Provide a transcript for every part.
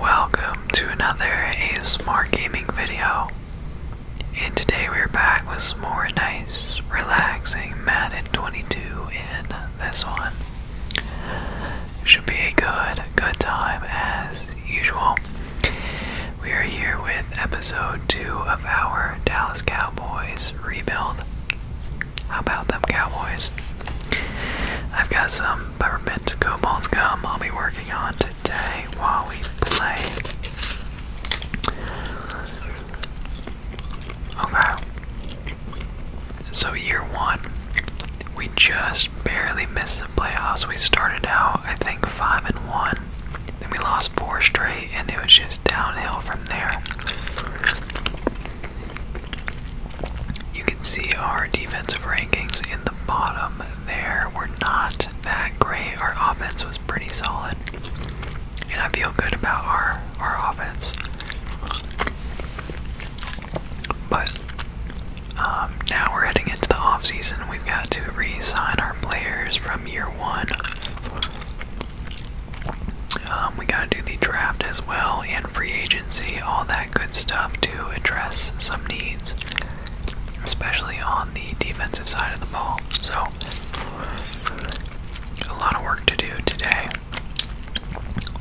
Welcome to another ASMR gaming video. And today we're back with more nice, relaxing Madden 22 in this one. Should be a good, good time as usual. We are here with episode 2 of our Dallas Cowboys rebuild. How about them Cowboys? I've got some peppermint cobalt gum I'll be working on today while we play. Okay. So, year one, we just barely missed the playoffs. We started out, I think, 5 and 1. Then we lost 4 straight, and it was just downhill from there. You can see our defensive rankings in the bottom there. were not that great. Our offense was pretty solid. And I feel good about our our offense. But um, now we're heading into the offseason. We've got to re-sign our players from year one. Um, we got to do the draft as well and free agent efficiency, all that good stuff to address some needs, especially on the defensive side of the ball. So, a lot of work to do today.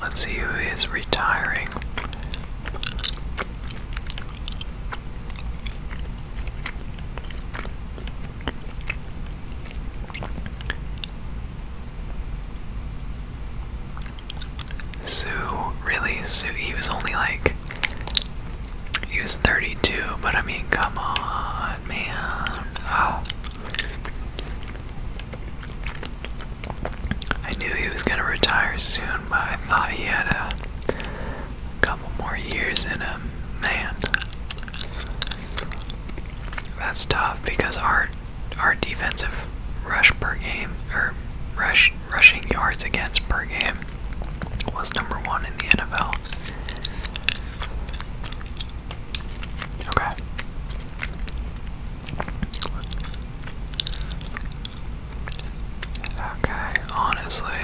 Let's see who is retiring. Sue, really, Sue, he was only like, he was 32, but I mean, come on, man. Ah. I knew he was gonna retire soon, but I thought he had a couple more years in him. Man, that's tough because art our defensive rush per game or rush rushing yards against per game was number one in the NFL. Okay. Okay, honestly,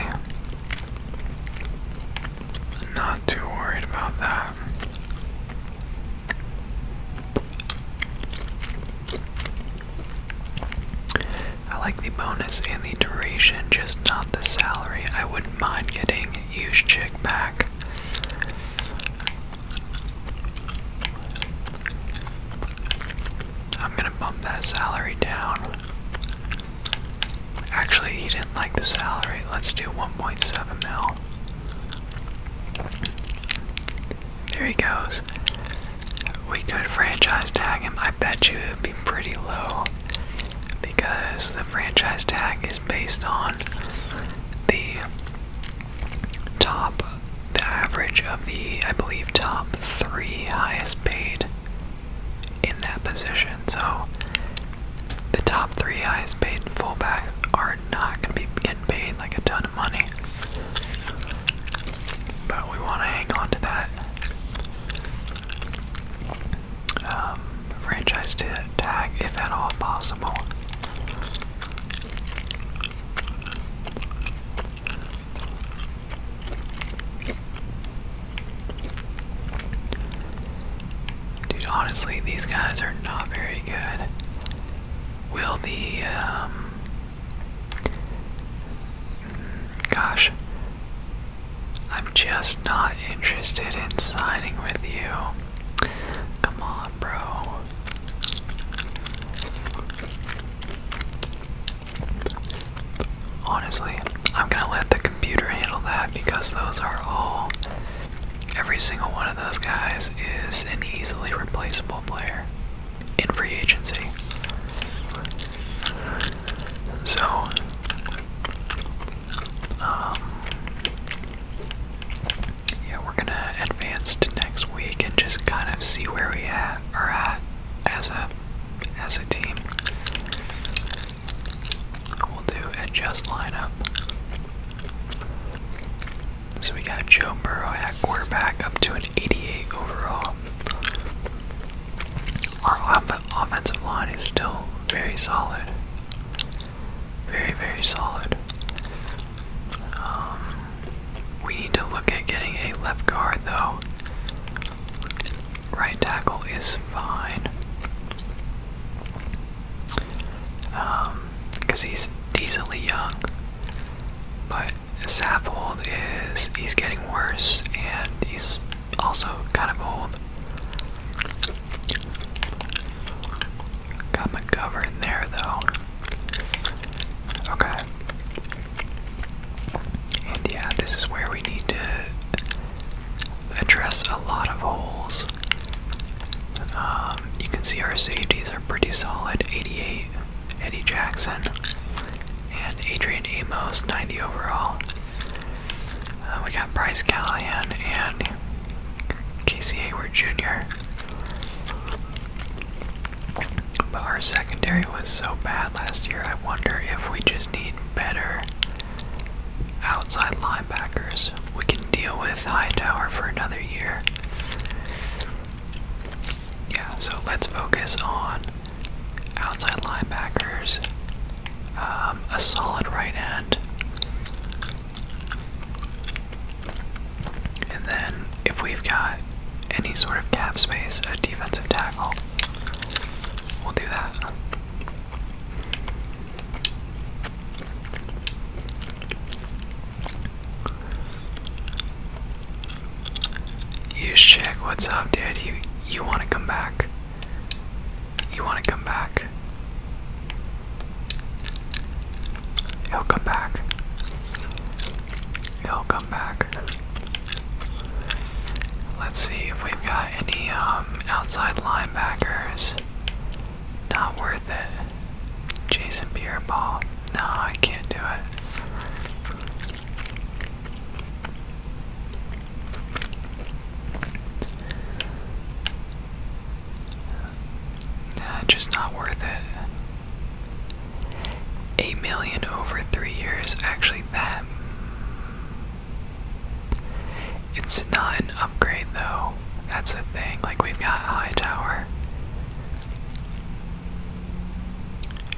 not too worried about that. I like the bonus and the duration, just not the salary. I wouldn't mind getting used chick back. I'm gonna bump that salary down. Actually, he didn't like the salary. Let's do 1.7 mil. There he goes. We could franchise tag him. I bet you it would be pretty low because the franchise tag is based on the top, the average of the, I believe, top three highest paid in that position. So the top three highest paid fullbacks are we're not gonna be getting paid like a ton of money. But we want to hang on to that um, franchise to tag if at all possible. Dude, honestly, these guys are not very good. Will the um, Gosh, I'm just not interested in signing with you. Come on, bro. Honestly, I'm gonna let the computer handle that because those are all. Every single one of those guys is an easily replaceable player in free agency. So, um, yeah, we're gonna advance to next week and just kind of see where we at, are at as a as a team. We'll do adjust lineup. So we got Joe Burrow at quarterback up to an 88 overall. Our offensive line is still very solid. Very, very solid. Um, we need to look at getting a left guard though. Right tackle is fine. Because um, he's decently young. But Saffold is he's getting worse and he's also kind of old. Got McGovern in there though. Okay. And yeah, this is where we need to address a lot of holes. Um, you can see our safeties are pretty solid. 88 Eddie Jackson, and Adrian Amos, 90 overall. Uh, we got Bryce Callahan and Casey Hayward Jr. But our secondary was so bad last year, I wonder if we just need better outside linebackers. We can deal with Hightower for another year yeah, so let's focus on outside linebackers, um, a solid right end, and then if we've got any sort of cap space, a defensive tackle, we'll do that. You check what's up, Dad? You you wanna come back. You wanna come back. He'll come back. He'll come back. Let's see if we've got any um, outside linebackers. Not worth it. Jason Pierre No, I can't do it. Nah, just not worth it. Eight million over three years. Actually, that. It's not an upgrade though. That's the thing. Like we've got high tower.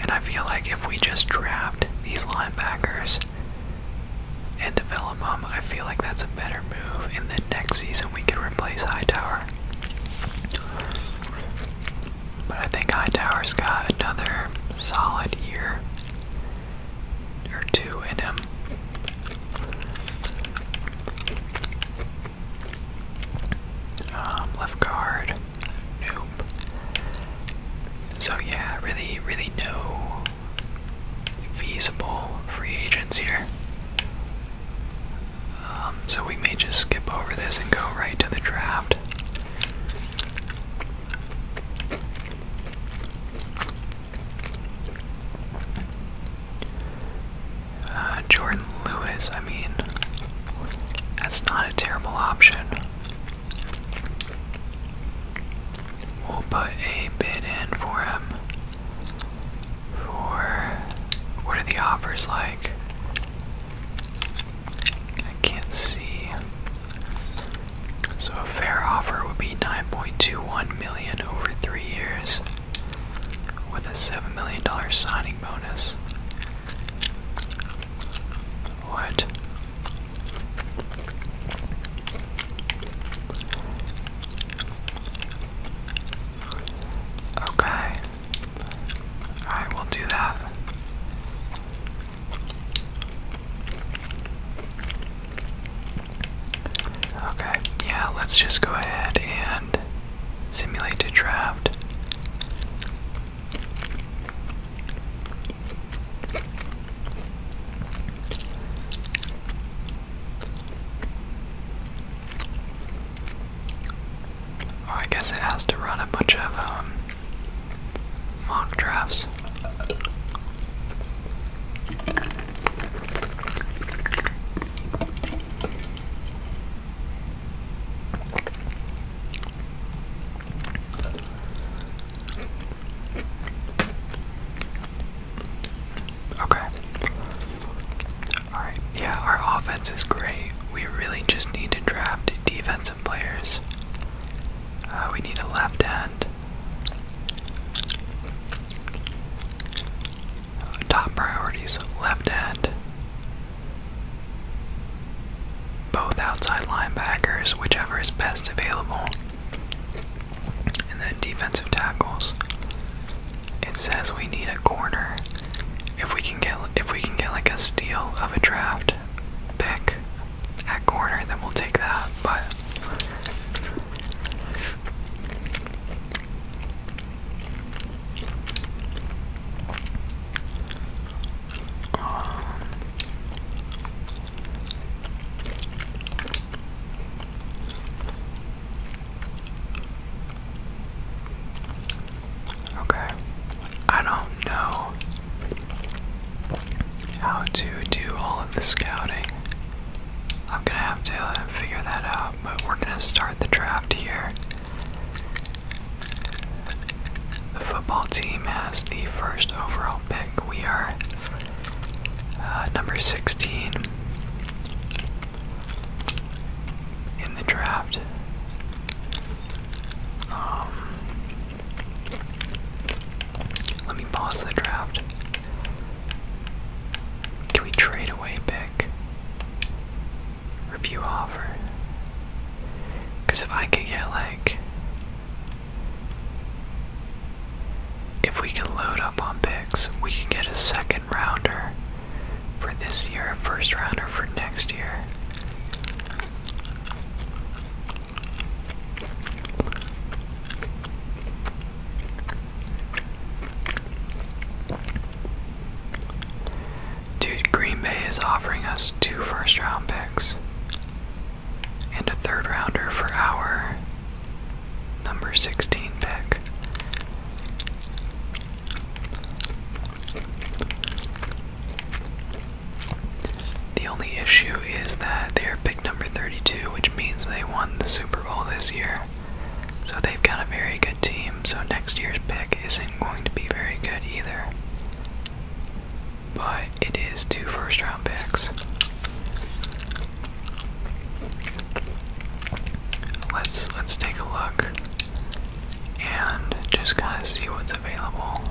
And I feel like if we just draft these linebackers and develop them, I feel like that's a better move. And then next season we could replace Hightower. But I think Hightower's got another solid year or two in him. Um, left guard, nope. So yeah, really, really no feasible free agents here. Um, so we may just skip over this and go right to the draft. Uh, Jordan Lewis. I mean, that's not a terrible option. We'll put a bid in for him. For what are the offers like? I can't see. So a fair offer would be 9.21 million over 3 years with a 7 million dollar signing bonus. What? Okay. Alright, will do that. Okay, yeah, let's just go ahead and Simulated draft. Or I guess it has to run a bunch of um, mock drafts. Okay. Alright, yeah, our offense is great. We really just need to draft defensive players. Uh, we need a left end. Top priorities left end both outside linebackers, whichever is best available, and then defensive tackles. It says we need a corner. If we can get if we can get like a steal of a draft pick at corner, then we'll take that. But um, okay, I don't know how to do all of the scouting. I'm gonna have to figure that out, but we're gonna start the draft here. The football team has the first overall pick. We are uh, number 16 in the draft. Um, let me pause the draft. Can we trade away pick? review offer. Because if I could get like. If we can load up on picks, we can get a second rounder for this year, a first rounder for next year. Dude, Green Bay is offering us two first round picks and a third rounder for our number 16 pick. The only issue is that they're pick number 32, which means they won the Super Bowl this year. So they've got a very good team. So next year's pick isn't going to be very good either. But it is two first round picks. Let's let's take a look and just kind of see what's available.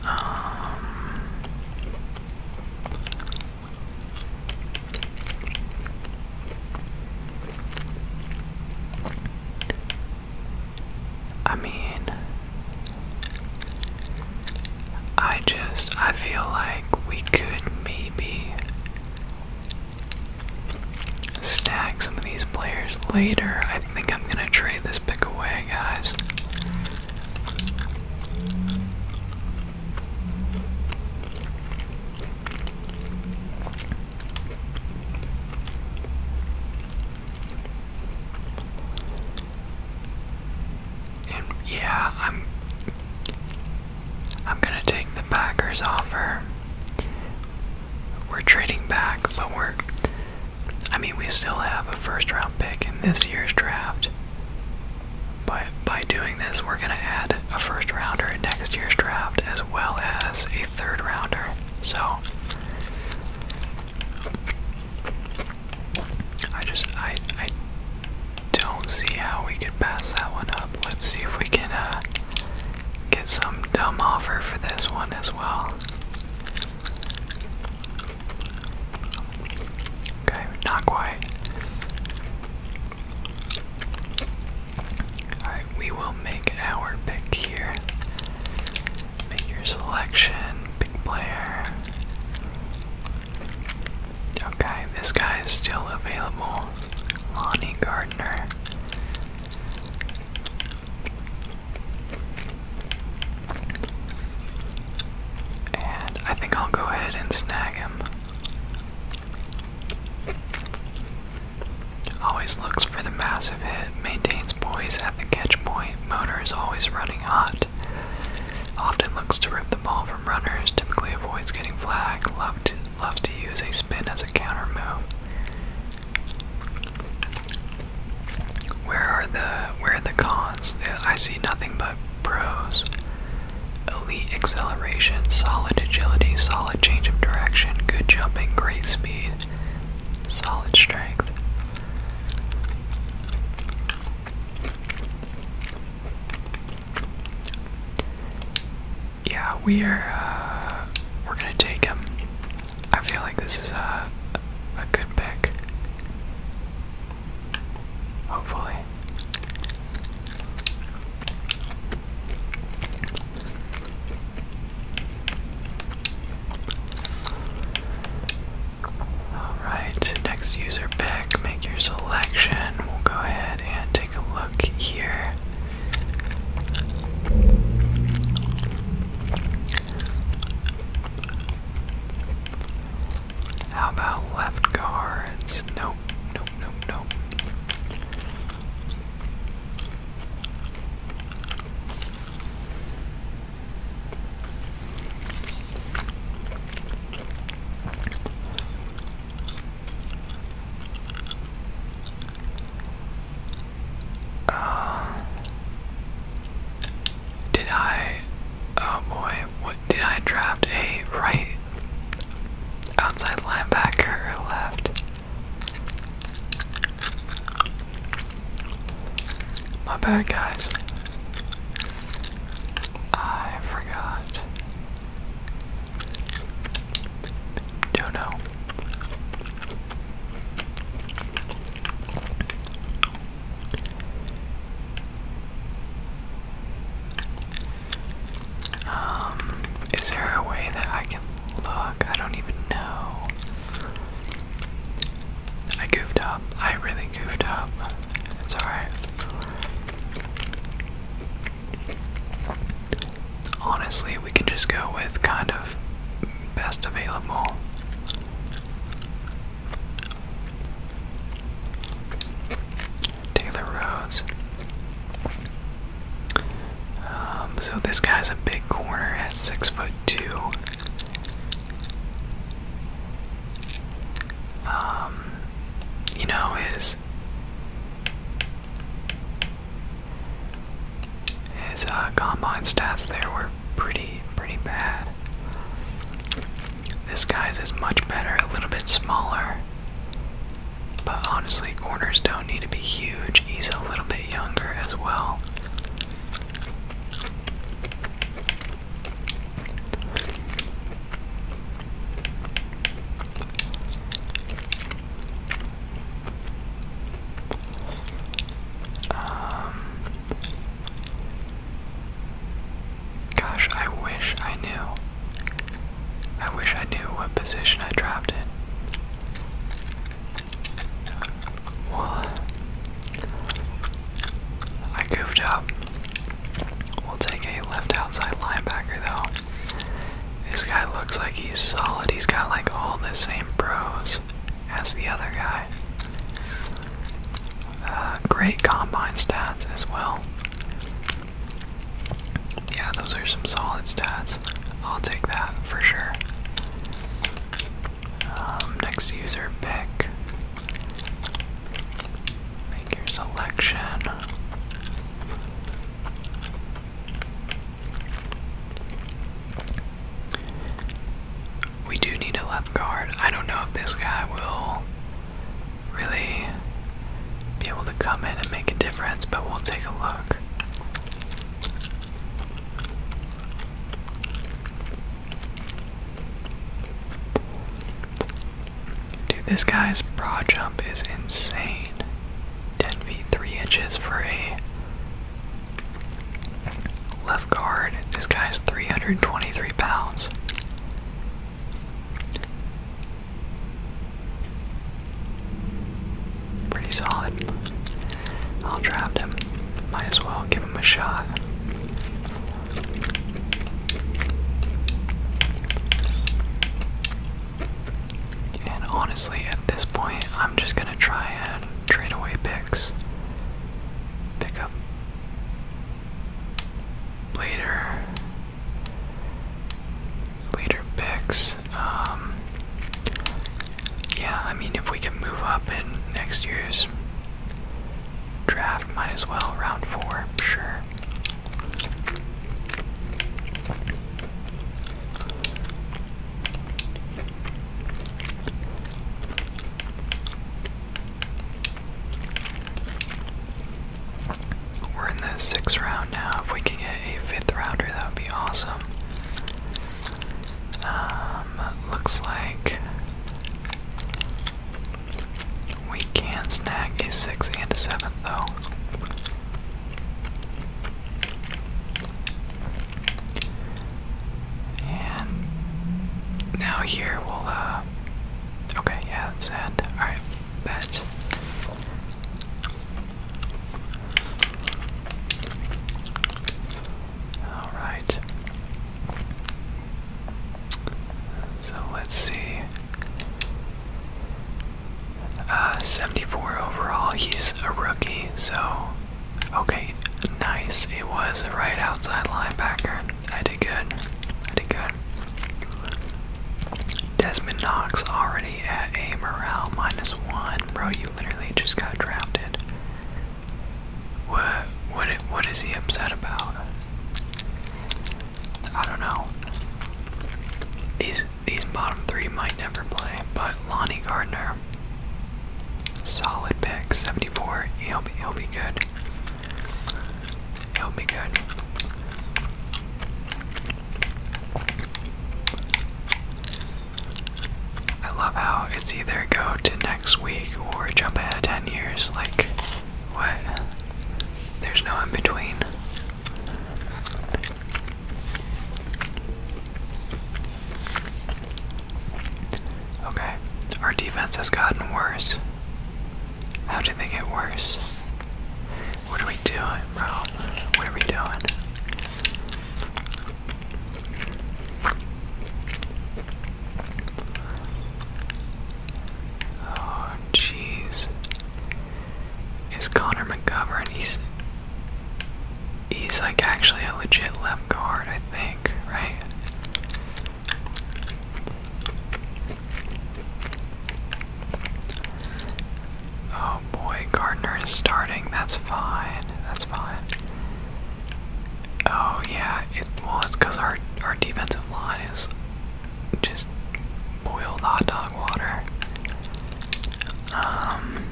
Um, I mean, I just, I feel like we could maybe stack some of these players later. I think I'm gonna trade this pick away, guys. And yeah, I'm I'm going to take the Packers offer. We're trading back, but we're. I mean, we still have a first round pick in this year's draft. But by doing this, we're going to add a first rounder in next year's draft as well as a third rounder. So. I just. I. I don't see how we could pass that one up. Let's see if we can uh, get some dumb offer for this one as well. Okay, not quite. Alright, we will make our pick here. Make your selection, pick player. Okay, this guy is still available. Lonnie Gardner. I think I'll go ahead and snag him. Always looks for the massive hit, maintains poise at the catch point, motor is always running hot. Often looks to rip the ball from runners, typically avoids getting flagged, loved loves to use a spin as a counter move. Where are the where are the cons? I see nothing but pros. Elite acceleration, solid agility, solid change of direction, good jumping, great speed, solid strength yeah, we are. Uh, we're gonna take him. I feel like this is a a good pick. Hopefully. Alright, next user pick, make your selection. We'll go ahead and take a look here. How about left guards? Nope, nope, nope, nope. Uh, did I? Oh boy, what did I draft a right outside linebacker or left? My bad, guys. I forgot. Don't know. Um, is there a way that I can look? I don't even know. I goofed up. I really goofed up. It's alright honestly, we can just go with kind of best available. Taylor Rhodes. Um, so this guy's a big corner at six foot two. Um, you know, his his uh, combine stats there were pretty, pretty bad. This guy's is much better, a little bit smaller. But honestly, corners don't need to be huge. He's a little bit younger as well. Um, gosh, I wish I knew. I wish I knew what position I dropped in. Well, I goofed up. We'll take a left outside linebacker though. This guy looks like he's solid. He's got like all the same pros as the other guy. Uh, great combine stats as well. Yeah, those are some solid stats. I'll take that for sure. Um, next user pick. Make your selection. We do need a left guard. I don't know if this guy will really be able to come in and make a difference, but we'll take a look. Dude, this guy's broad jump is insane. 10 feet 3 inches for a left guard. This guy's 323 pounds. Pretty solid. I'll draft him. Might as well give him a shot. And honestly, at this point, I'm just gonna try and trade away picks. Pick up later, later picks. Um, yeah, I mean, if we can move up in next year's draft, might as well round four, sure. We're in the sixth round now. If we can get a fifth rounder, that would be awesome. Um, looks like we can snag a sixth and a seventh, though. And now here we'll, uh, okay, yeah, that's sad. Alright, that's. Alright. So let's see. Uh, 74 overall. He's a rookie, so okay, nice. It was a right outside linebacker. I did good. I did good. Desmond Knox already at a morale minus one. Bro, you literally just got drafted. What? What? What is he upset about? I don't know. These these bottom three might never play, but Lonnie Gardner, solid pick, 74. He'll be, he'll be good. He'll be good. I love how it's either go to next week or jump ahead 10 years. Like, what? There's no in between. Okay, our defense has gotten worse. How did they get worse? What are we doing, bro? What are we doing? Oh, jeez. It's Connor McGovern. He's he's like actually a legit left guard, I think, right? Oh boy, Gardner is starting. That's fine. That's fine. Oh yeah, it well it's because our our defensive line is just boiled hot dog water. Um,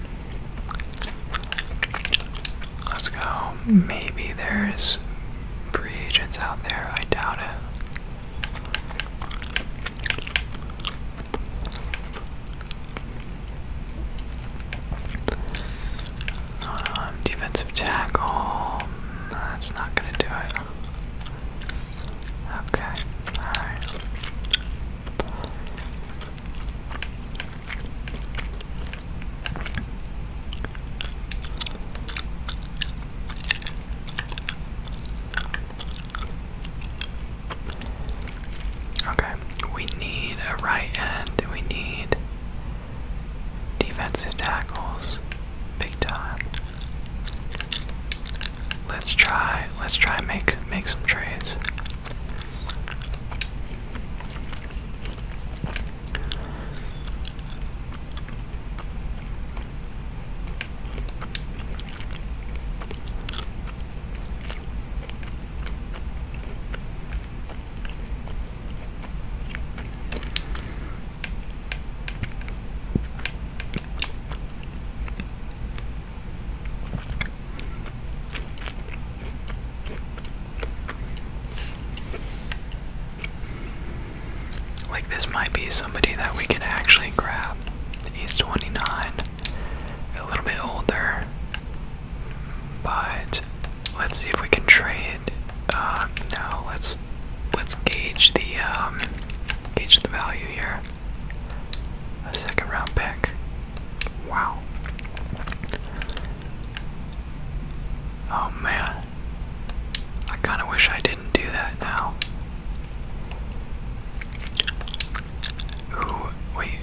let's go. Maybe there's free agents out there. I doubt it. Um, defensive tackle. That's not gonna do it. Okay. All right. Okay, we need a right end. We need defensive tackles. Big time. Let's try let's try make make some trades. Like, this might be somebody that we can actually grab. He's 29, a little bit older, but let's see if we can trade. Uh, no, let's let's gauge the um, gauge the value here. A second round pick. Wow. Oh man. I kind of wish I didn't do that now. Ooh, wait.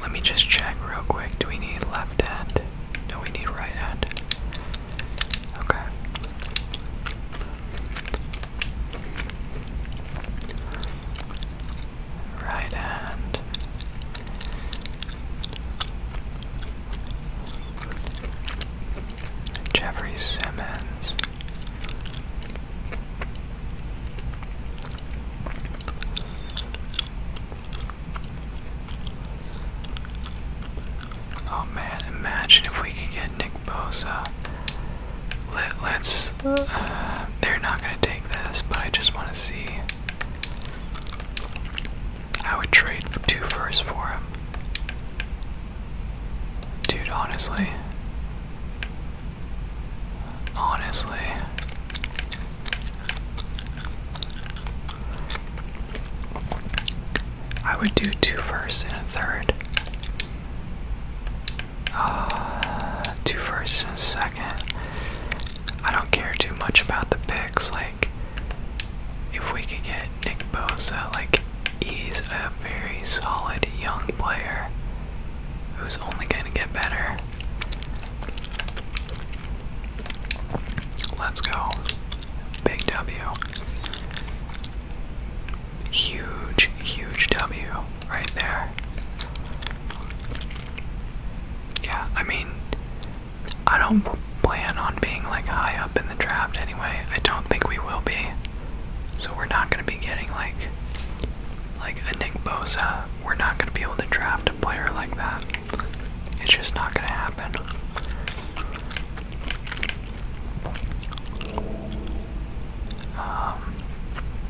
Let me just check real quick. Do we need left hand? No, we need right hand. Okay. Right hand. Jeffrey Simmons. Oh man, imagine if we could Nick Bosa. Let, us uh, they're not going to take this, but I just want to see. I would trade two firsts for him. Dude, honestly. Honestly. I would do two firsts and a third. Uh, two first and a second. I don't care too much about the picks. Like, if we could get Nick Bosa, like, he's a very solid young player who's only going to get better. Let's go. Big W. Huge, huge W right there. Yeah, I mean, I don't plan on being like high up in the draft anyway. I don't think we will be. So we're not going to be getting like like a Nick Bosa. We're not going to be able to draft a player like that. It's just not going to happen. Um,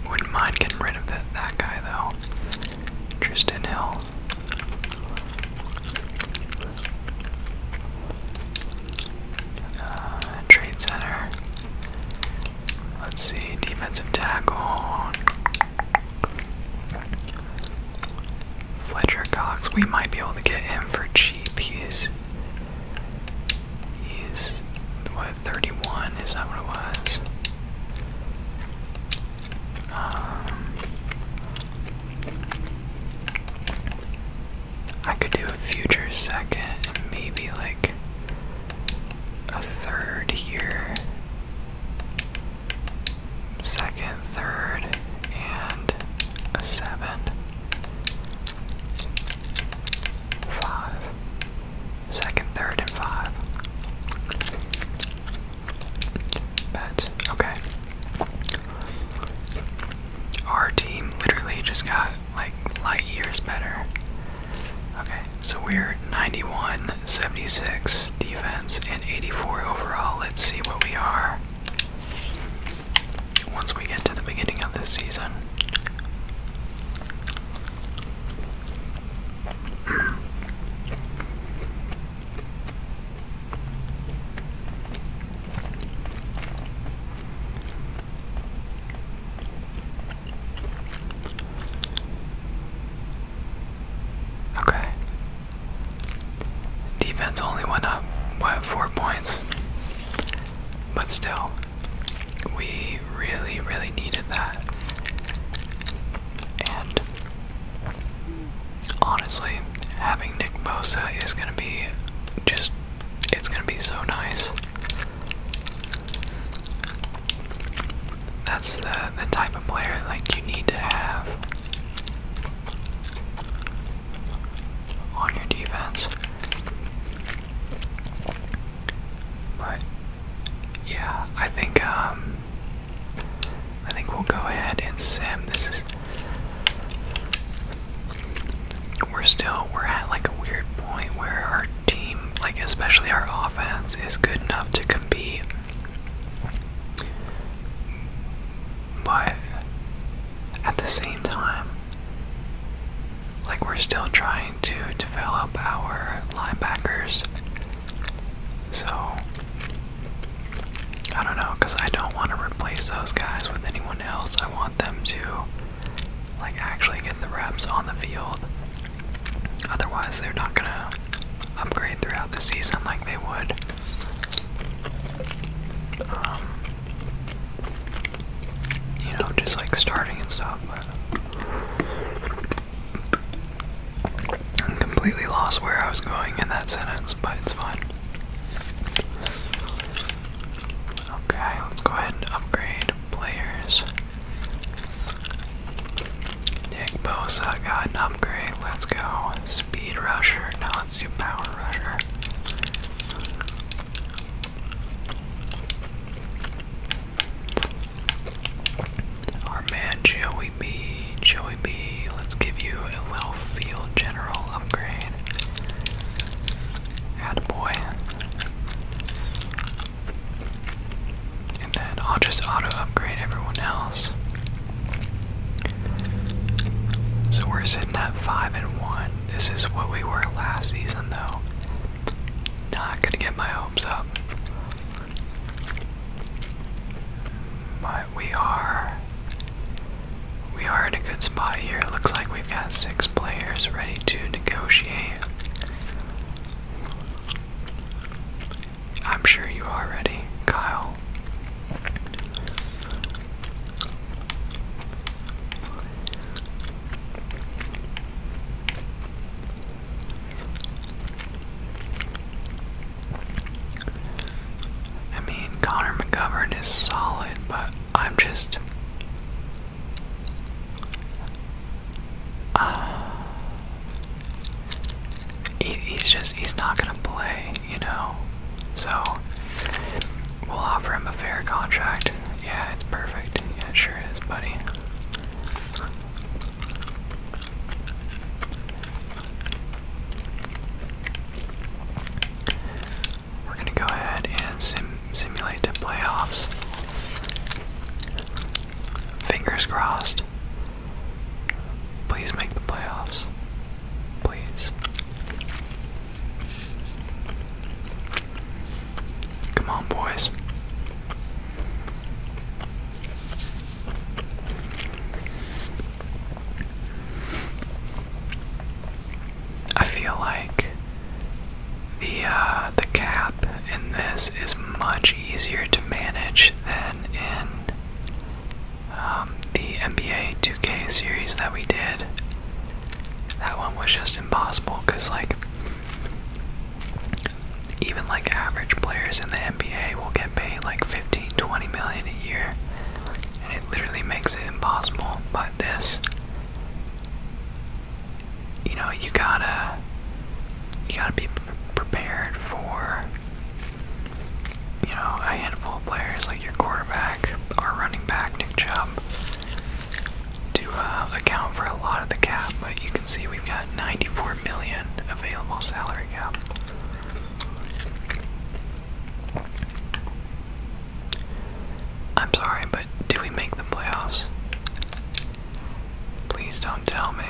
wouldn't mind getting rid of that, that guy though. Tristan Hill. Uh, trade center. Let's see, defensive tackle. Fletcher Cox. We might be able to get him for cheap. He's what 31? Is that what it was? Um, I could do a future second, maybe like a third here. Second, third, and a seven. Five. Second, third, and five. Bets. Okay. Our team literally just got like light years better. Okay, so we're 91, 76 defense, and 84 overall. Let's see what we are once we get to the beginning of this season. Okay. Defense only went up, by four points? But still, we really, really needed that. And honestly, having Nick Bosa is gonna be just it's gonna be so nice. That's the the type of player like you need to have on your defense. But yeah, I think um I think we'll go ahead and sim. This we're still we're at like a weird point where our team, like especially our offense, is good enough to compete. But at the same time, like we're still trying to develop our linebackers. So I don't know, cause I don't want to replace those guys with anyone else. I want them to like actually get the reps on the field. Otherwise, they're not gonna upgrade throughout the season like they would. Um, you know, just like starting and stuff. I am completely lost where I was going in that sentence, but it's fine. Okay, let's go ahead and upgrade players. Nick Bosa got an upgrade. Let's go. Speed rusher. No, let's do power rusher. Our man Joey B, Joey B, let's give you a little field general upgrade. Attaboy. And then I'll just auto upgrade everyone else. So we're sitting at 5 and 1. This is what we were last season though. Not gonna get my hopes up. But we are we are in a good spot here. It looks like we've got six players ready to negotiate. I'm sure you are ready, Kyle. I mean, Connor McGovern is solid, but I'm just. Uh, he's just, he's not gonna play, you know? So, we'll offer him a fair contract. Yeah, it's perfect. Yeah, it sure is, buddy. We're going to go ahead and simulate the playoffs. Fingers crossed. Please make the playoffs. Please. Come on, boys. I feel like the uh, the cap in this is much easier to manage than in um, the NBA 2K series that we did. That one was just impossible because like even like average players in the NBA will get paid like 15, 20 million a year, and it literally makes it impossible. But this, you know, you gotta, you gotta be prepared for, you know, a handful of players like your quarterback, or running back Nick Chubb, to uh, account for a lot of the cap, but you can see we've got 94 million available salary cap. I'm sorry, but do we make the playoffs? Please don't tell me.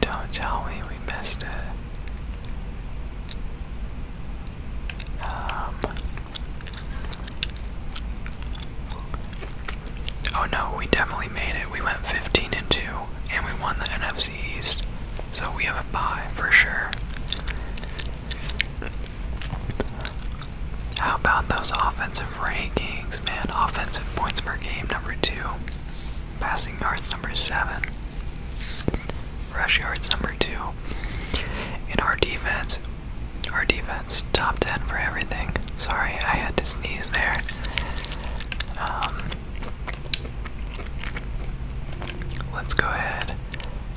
Don't tell me we missed it. Um, Oh no, we definitely made it. We went 15 and 2 and we won the NFC East. So we have a bye for sure. How about those offensive rankings, man? Offensive points per game number 2. Passing yards number 7. Rush yards number 2. In our defense, our defense, top 10 for everything. Sorry, I had to sneeze there. Um, let's go ahead.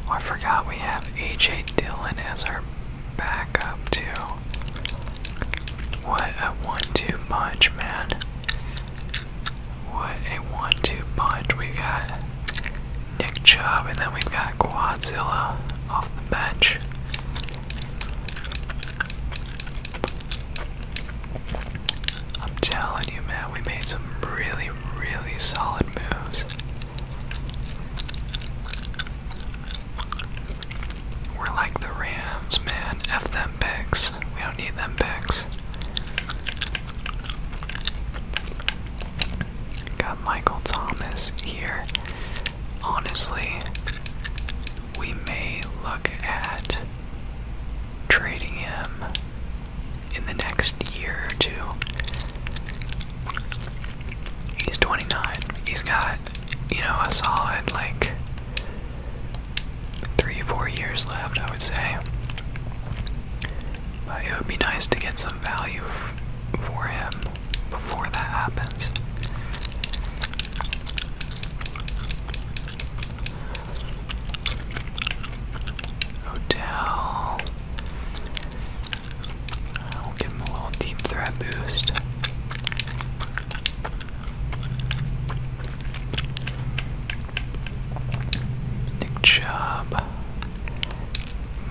Oh, I forgot we have A.J. Dillon as our backup, too. What a one-two punch, man. What a one-two punch we got. Nick Chubb, and then we've got Quadzilla off the bench. I'm telling you, man, we made some really, really solid moves. We're like the Rams, man. F them picks. We don't need them picks. Got Michael Thomas here. Honestly, we may look at trading him in the next year or two. He's 29. He's got, you know, a solid like three, four years left, I would say. But it would be nice to get some value for him before that happens. Hotel. I'll give him a little deep threat boost. Nick Chubb.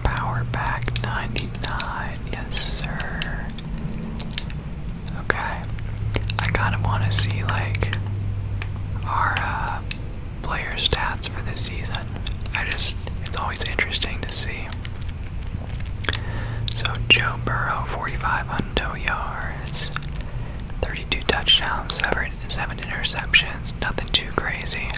Power back 99. Yes, sir. Okay. I kind of want to see, like, our uh, player stats for this season. I just, it's always interesting to see. So, Joe Burrow, 4,500 yards, 32 touchdowns, 7, interceptions, nothing too crazy.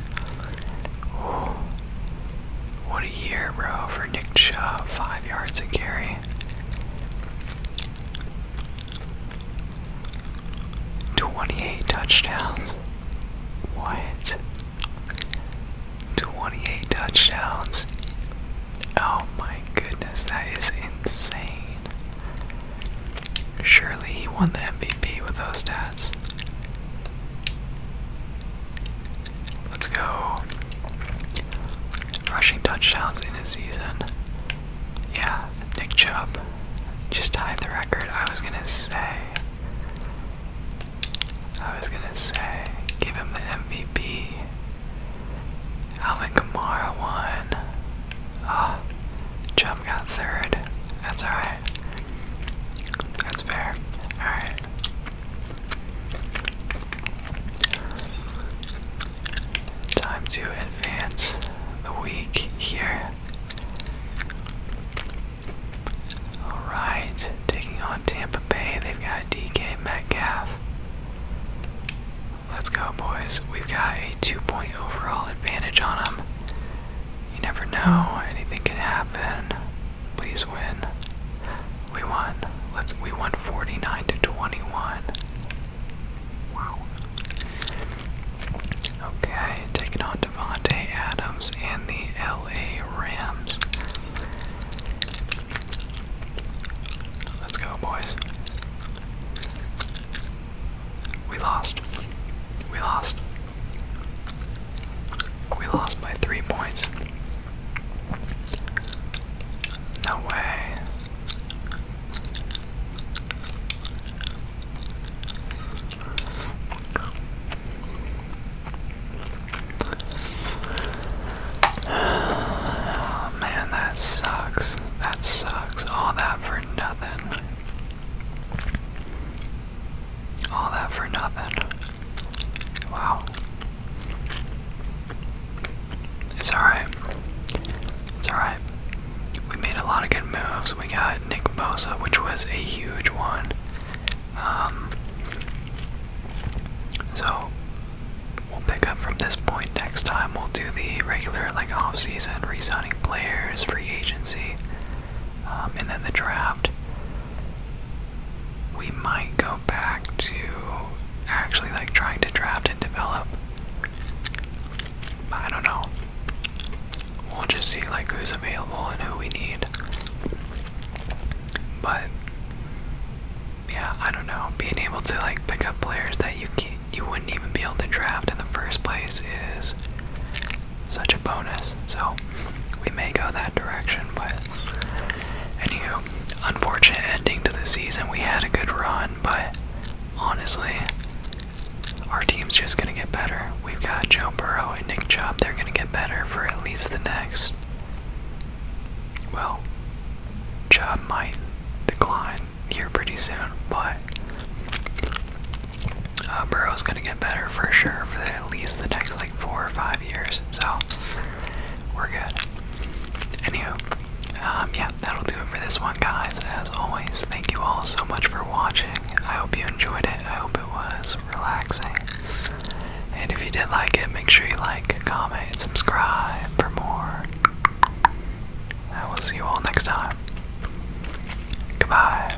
What a year, bro, for Nick Chubb. Five yards a carry. Twenty-eight touchdowns. What? Twenty-eight touchdowns. Oh my goodness, that is insane. Surely he won the MVP with those stats. Let's go. Rushing touchdowns in a season. Yeah, Nick Chubb just tied the record. I was gonna say. I was gonna say, give him the MVP. Alvin Kamara won. Ah, oh, Chubb got third. That's alright. That's fair. Alright. Time to advance the week here. Alright, taking on Tampa Bay. They've got DK Metcalf. Let's go, boys. We've got a two point overall advantage on them. You never know. Anything can happen. Please win. We won. Let's. We won 49 to 21. Okay, taking on Devonte Adams and the LA Rams. Let's go, boys. We lost. We lost. We lost by three points. No way. Oh man, that sucks. That sucks. All that for nothing. All that for nothing. Wow. It's alright. It's alright. We made a lot of good moves. We got Nick Mosa, which was a huge one. Um, so we'll pick up from this point next time. We'll do the regular like off-season, re-signing players, free agency. Um, and then the draft. We might go back to actually like trying to draft and develop. I don't know. We'll just see like who's available and who we need. But yeah, I don't know. Being able to like pick up players that you you wouldn't even be able to draft in the first place is such a bonus. So we may go that direction, but anywho, unfortunate ending to the season. We had a good run, but honestly, our team's just gonna get better. We've got Joe Burrow and Nick Chubb. They're gonna get better for at least the next. Well, Chubb might decline here pretty soon, but uh, Burrow's gonna get better for sure for the, at least the next like four or five years. So we're good. Anywho, um, yeah, that'll do it for this one, guys. As always, thank you all so much for watching. I hope you enjoyed it. I hope it was relaxing. And if you did like it, make sure you like, comment, subscribe for more. I will see you all next time. Goodbye.